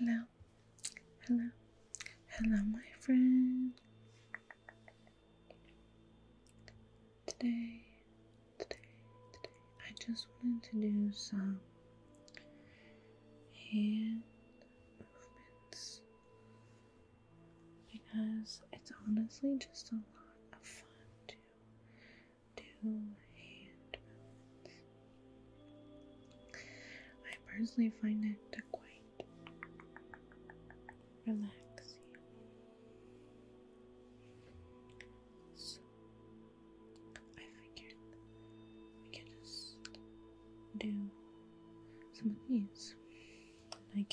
Hello, hello, hello, my friend. Today, today, today, I just wanted to do some hand movements because it's honestly just a lot of fun to do hand I personally find it quite relaxing. So I figured we could just do some of these. And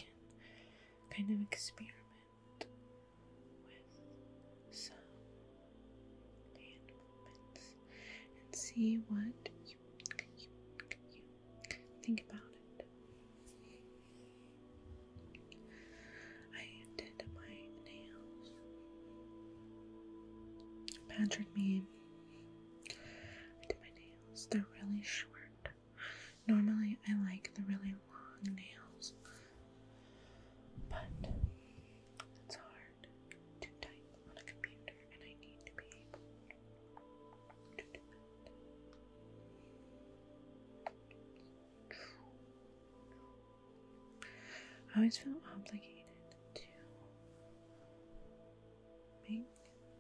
kind of experiment with some hand movements and see what you, think about it. I did my nails. Patrick me. I did my nails. They're really short. Normally, I like the really long nails, but it's hard to type on a computer, and I need to be able to do that. I always feel obligated to make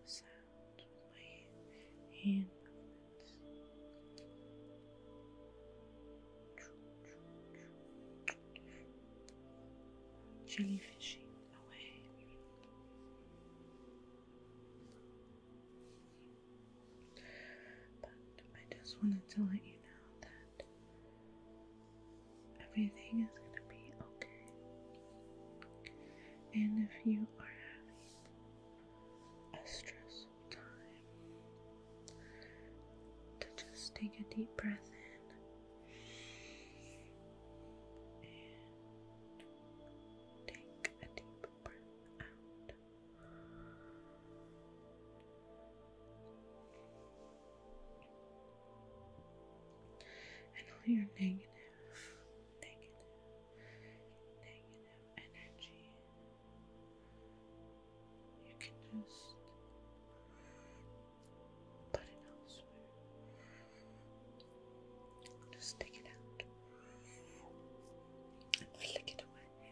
sound my hand movements. Jellyfishing away. But I just wanted to let you know that everything is going to be okay. And if you are a stress time, to just take a deep breath in take a deep breath out. And all your negative negative, negative energy. You can just put it elsewhere. Just take it out and flick it away.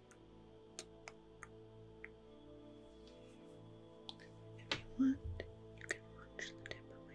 If you want, you can watch the tip of my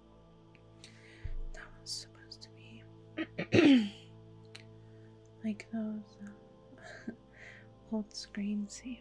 That was supposed to be like those uh, old screen savers.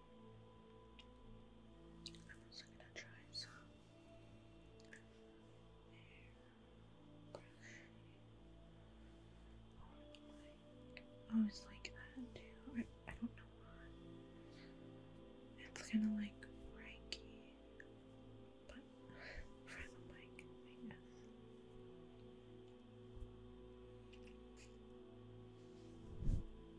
I'm also gonna try some I always like that too. I, I don't know why. It's kind of like Reiki, but for the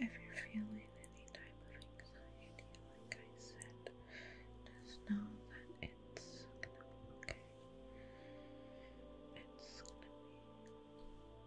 If you're feeling any type of anxiety, like I said, just know that it's okay. It's gonna be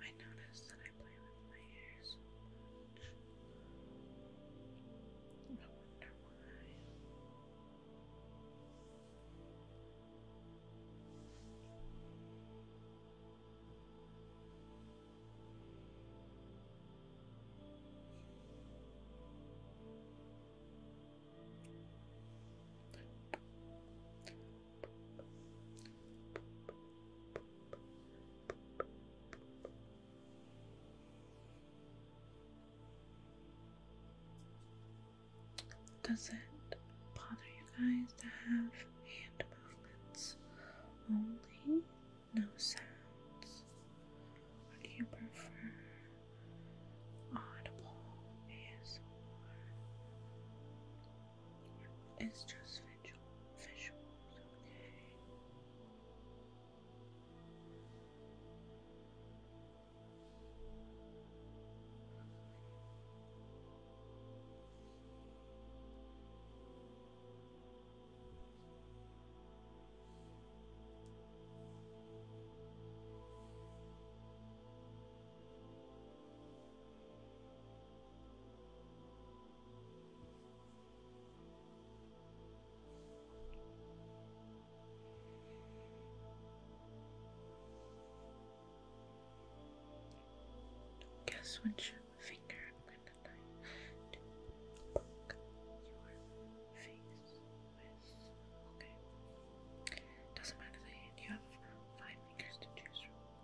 I notice that I play with my hair so wonder why. Does it bother you guys to have hand movements only? No sounds? Or do you prefer audible ASMR? It's just visual, visuals, okay? Okay. Guess which finger I'm gonna like your face with. Okay. Doesn't matter you have five fingers to choose from.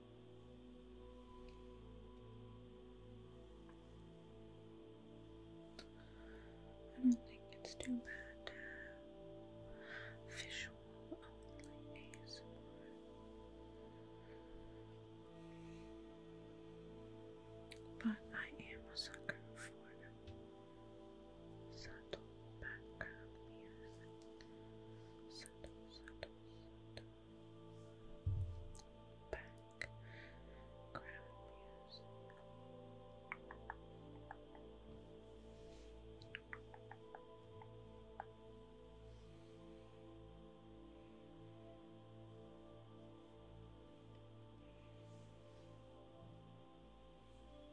I don't think it's too bad visual But I am a sucker for subtle background back ground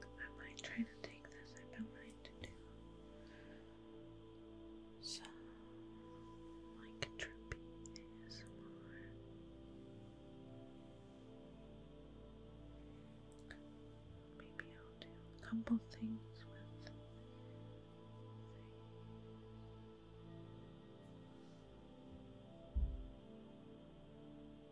I might try to take this. I've been wanting to do some like trapeze more. Maybe I'll do a couple things with.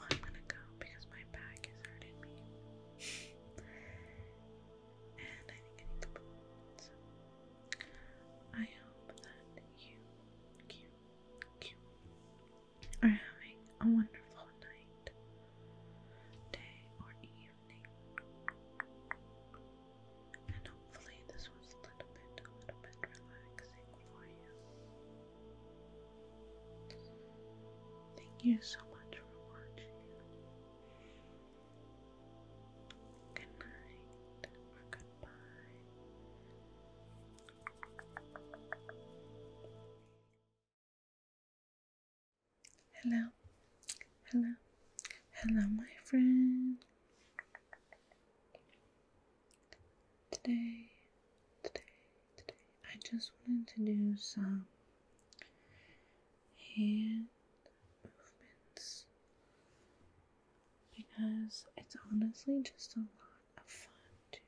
I'm gonna go because my back is hurting me. and I think I need the balloons. I hope that you, you, you are having a wonderful night, day, or evening. And hopefully, this was a little bit, a little bit relaxing for you. Thank you so much for watching. Good night goodbye. Hello, hello, hello, my friend. Today, today, today, I just wanted to do some hand movements because it's honestly just a lot of fun to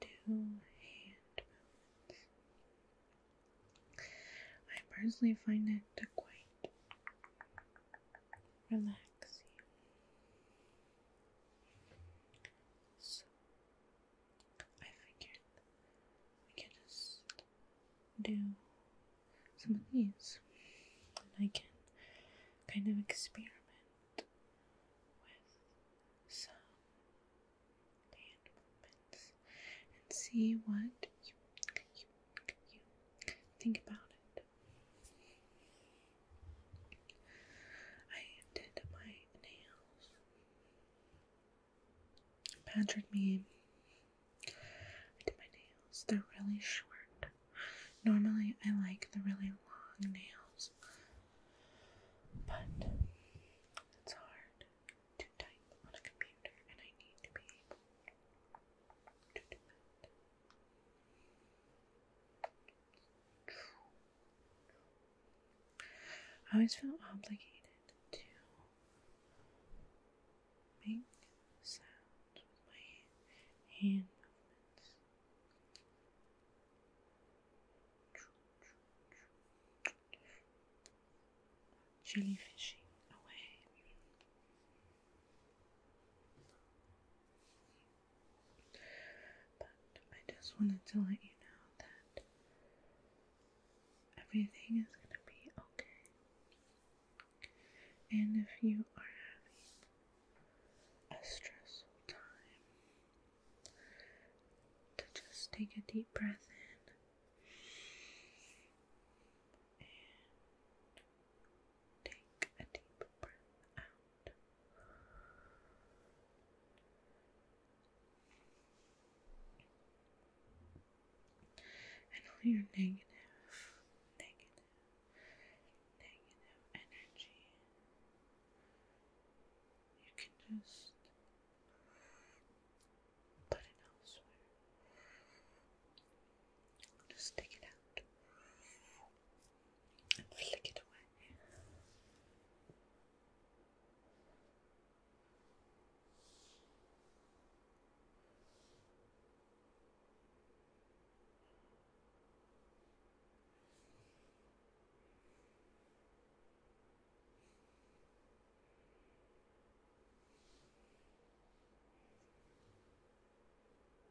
do hand movements. I personally find it quite relaxing. So I figured we can just do some of these, and I can kind of experiment with some hand movements and see what you, you think about it. I did my nails. Patrick me. I did my nails. They're really short. Normally I like the really long nails. But it's hard to type on a computer and I need to be able I always feel obligated to make sounds with my hand movements. Jellyfishing away. But I just wanted to let you know that everything is going to be okay. And if you are having a stressful time, to just take a deep breath in Take a deep breath out. And all your negative, negative, negative energy, you can just put it elsewhere. Just take it out and flick it away.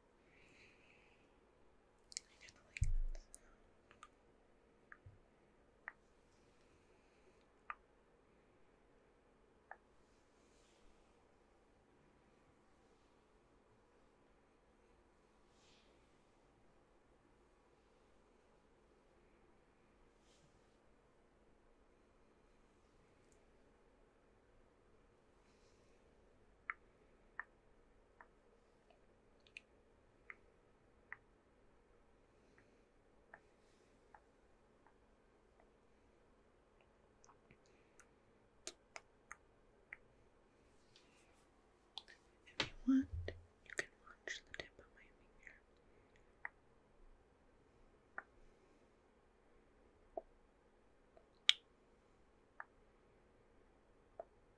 I kind of like if you want, you can watch the tip of my finger.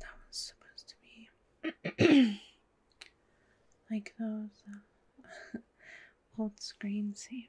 That was supposed to be like those uh, old screen savers.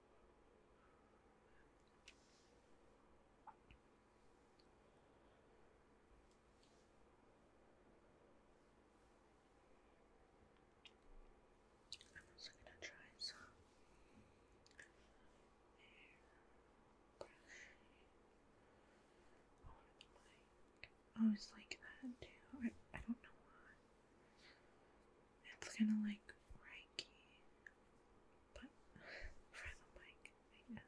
I'm also going to try some I always like that too. I, I don't know why. It's kind of like Reiki but for the mic, I guess.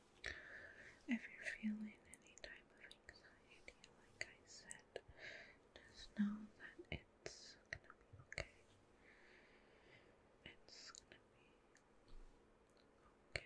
If you're feeling any type of anxiety, like I said, just know that it's gonna be okay. It's gonna be okay. Okay.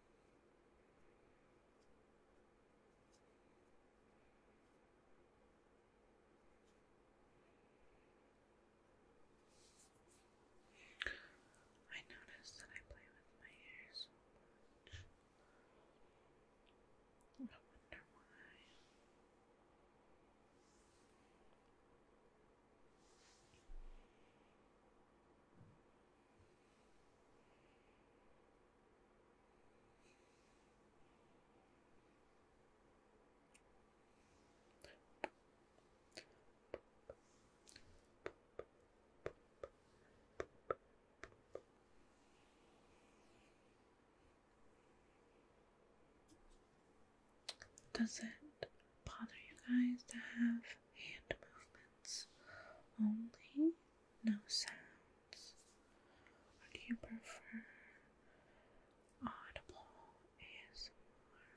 I notice that I play with my hair I wonder why. Does it bother you guys to have hand movements only? no sounds? do you prefer audible ASMR?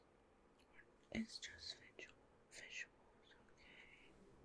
Or it's just visual, visuals, Okay.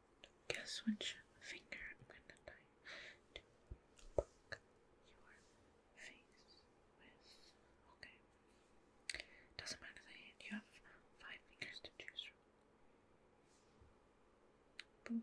Guess which finger I'm gonna tie your face with. Okay. Doesn't matter the hand, you have five fingers to choose from.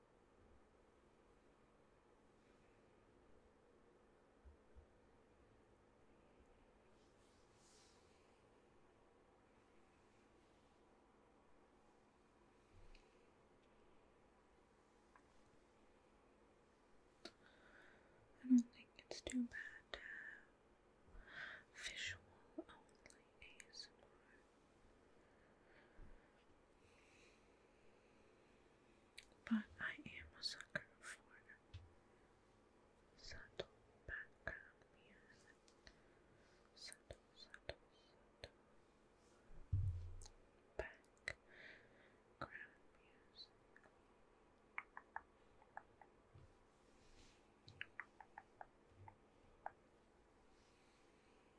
I don't think it's too bad to have visual only ASMR. But I am a sucker for subtle background music. Subtle, subtle, subtle. Background music.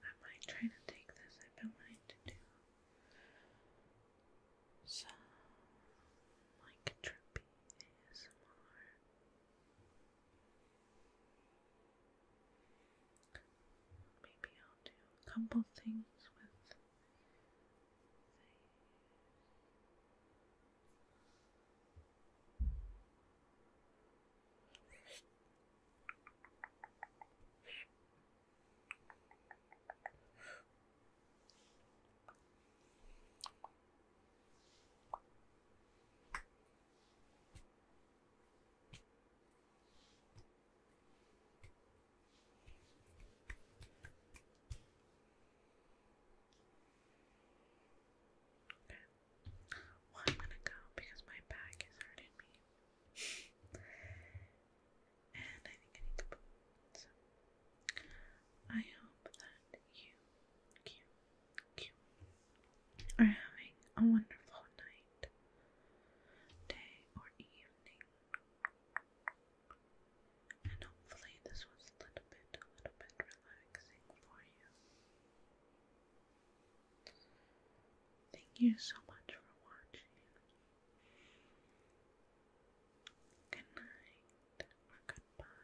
I might try to take this, I've been wanting to do some like trippy ASMR. Maybe I'll do a couple things with well, I'm gonna go because my back is hurting me. and I think I need to put so I hope that you, you, you are having a wonderful night day, or evening. And hopefully, this was a little bit, a little bit relaxing for you. Thank you so much for watching. Good night or goodbye.